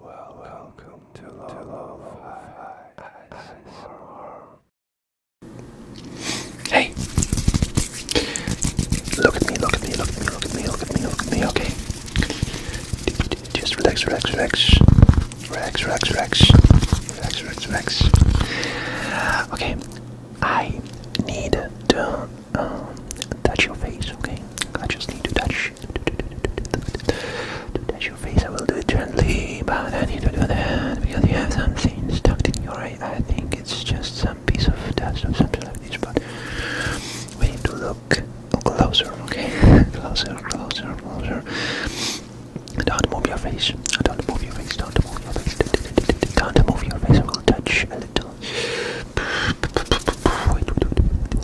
Well, welcome to Love Hey! Look at me, look at me, look at me, look at me, look at me, look at me, okay? Just relax, relax, relax. Relax, relax, relax. Relax, relax, relax. Okay, I need to um, touch your face, okay? I just need to touch brush to touch your face. I will do it gently, but I need to do that because you have something stuck in your eye. I think it's just some piece of dust or something like this, but we need to look closer, okay? closer, closer, closer. Don't move your face. Don't move your face. Don't move your face. Don't move your face. I will touch a little. Wait, wait, wait.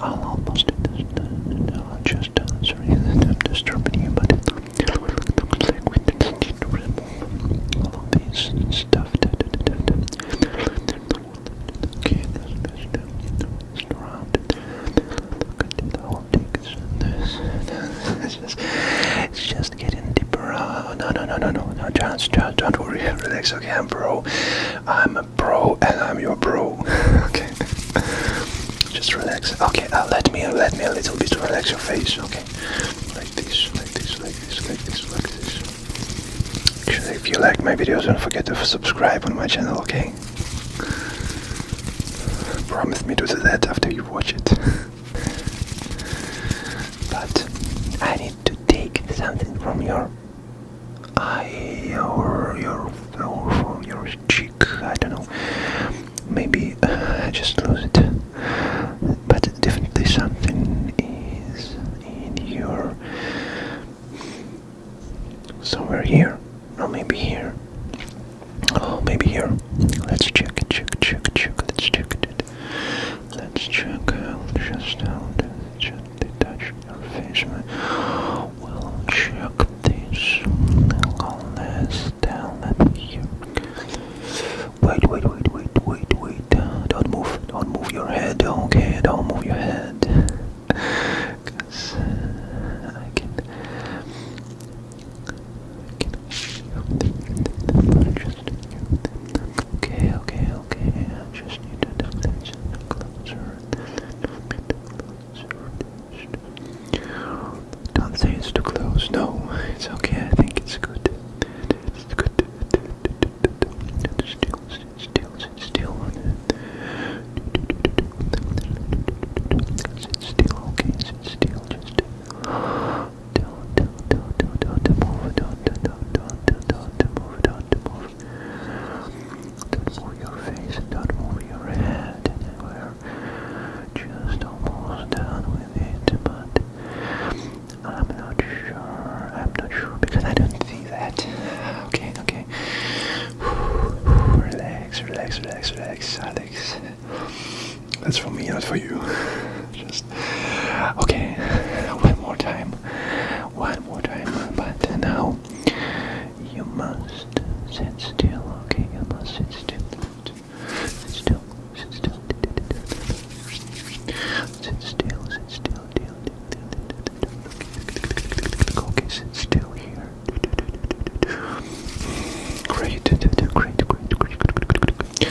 I'll almost do this. No, I'll just uh, sorry that I'm disturbing you, but it looks like we need to remove all of these stuff. Okay, let's just around. Look at the whole things and this. It's just, it's just getting deeper. Oh no, no, no, no, no, no. Just, don't worry. Relax, okay, bro. I'm I'm bro and I'm your bro. okay. Just relax. Okay, uh, let me let me a little bit to relax your face. Okay. Like this, like this, like this, like this, like this. Actually, if you like my videos, don't forget to subscribe on my channel. Okay. Promise me to do that after you watch it. but I need to take something from your eye or your or from your cheek. I don't know. Maybe uh, I just lose it. But definitely something is in your somewhere here, or maybe here. Oh, maybe here. Let's check, check, check, check. Let's check it. Let's check. Uh, just, I'll just they touch your face. We'll check this unless down at here. Wait, wait, wait, wait, wait, wait. Don't move, don't move your head, okay? Don't move your head. Cause I can. Okay, okay, okay. I just need to dump this in the closer. Don't say it's too close. No, it's okay. I think it's good. It's good. Still, still, still on still, okay, sit still, don't, don't, don't, don't, move, don't, don't, don't, don't, don't, don't, don't move, don't, move. Don't move your face, don't move your head, we're just almost done with it, but I'm not sure, I'm not sure because I don't see that. Okay, okay. Relax, relax, relax, relax, Alex. That's for me, not for you. Just podcast. Okay, one more time, one more time. But now you must sit still. Okay, you must sit still. Sit still. Sit still. Sit still. Sit still. Okay, sit still here. Great, great, great, great, great, great, great, great.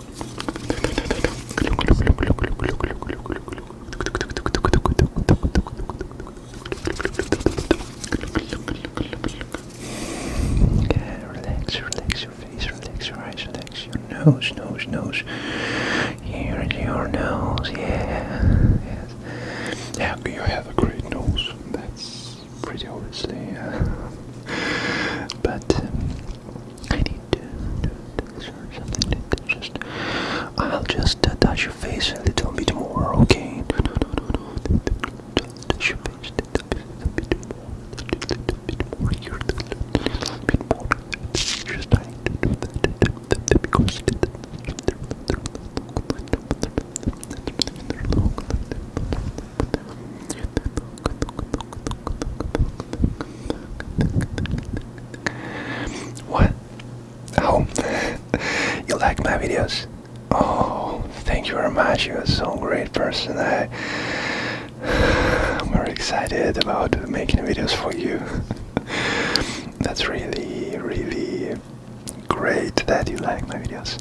Okay, relax, relax your face, relax your eyes, relax your nose, nose, nose. Here, your nose, yeah. Yes. Yeah, you have a great nose. That's pretty obviously. but um, I need to do something. I'll just touch your face a little bit more, okay? No, Touch your face a little bit more, a little bit more here, a Just I what? Oh, you like my videos? Oh, thank you very much. You're so great person. I, I'm very excited about making videos for you. That's really, really great that you like my videos.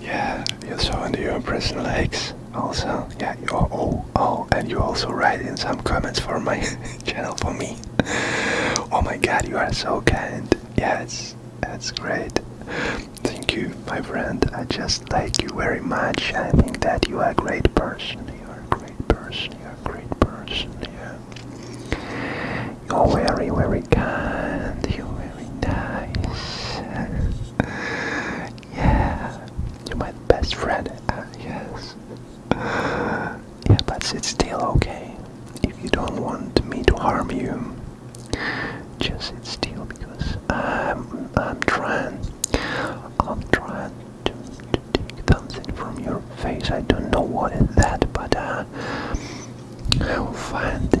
Yeah, you saw so into your personal hikes also. Yeah, you, are. oh, oh, and you also write in some comments for my channel for me. oh my god, you are so kind. Yeah, it's, that's great. Thank you, my friend. I just like you very much. I think that you are a great person. You are a great person. You are a great person. Yeah. You're very, very kind. You're very nice yeah, you're my best friend. Uh, yes. Yeah, but it's still okay. If you don't want me to harm you, just it's still because I'm trying. I'm trying to, to take something from your face. I don't know what is that, but uh, I will find it.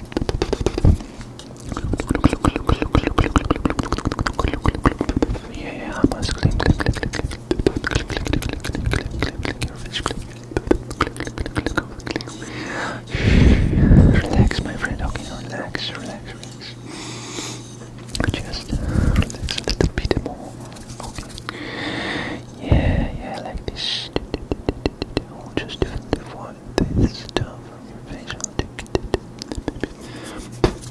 Yeah, I must click, click, click, click, click, click, click, click, click, click, click, click, click your fish, click, click, click, click, click, click. Relax, my friend. Okay, relax, relax, relax. Just uh, relax a little bit more. Okay. Yeah, yeah, like this will just define this stuff from your facial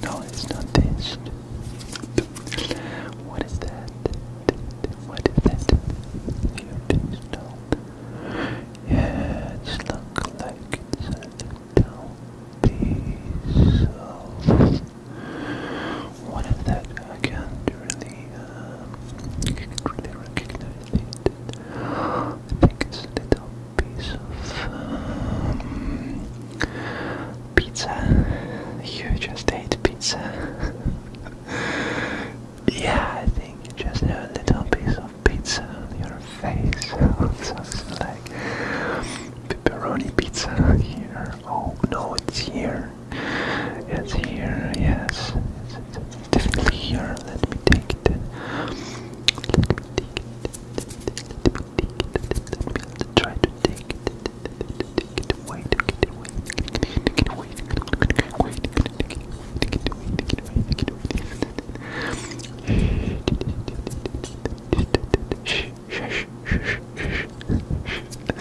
No, it's not this. What is that? What is that? Your taste no. Yeah, it's look like a little piece what is that? I can't really uh, you can really recognize it. I think it's a little piece of pizza. You just ate pizza. yeah, I think you just have a little piece of pizza on your face. Something like pepperoni pizza here. Oh no, it's here. It's here, yes. definitely here. Let me take it. Let me take it. Let me take it. try to take it. Take it away. Take it away. Take it away. Take it away. Take it away. Take it away. Take it away. Take it away. Shh, shh, shh, shh, shh. Don't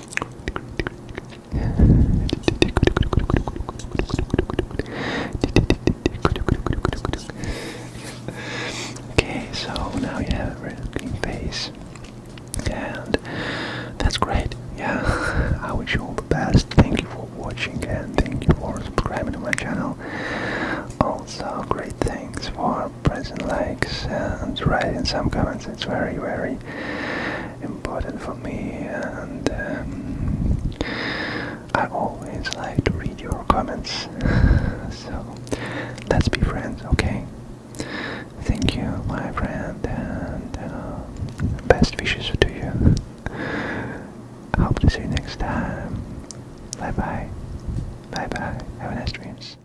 okay, so now you have a red looking face, and that's great. Yeah, I wish you all the best. Thank you for watching and thank you for subscribing to my channel. Also, great thanks for are pressing likes and writing some comments. It's very, very important for me, and um, I always like to read your comments. so let's be friends, okay? Thank you, my friend, and um, best wishes to you. Hope to see you next time. Bye bye. Bye bye. Have a nice dreams.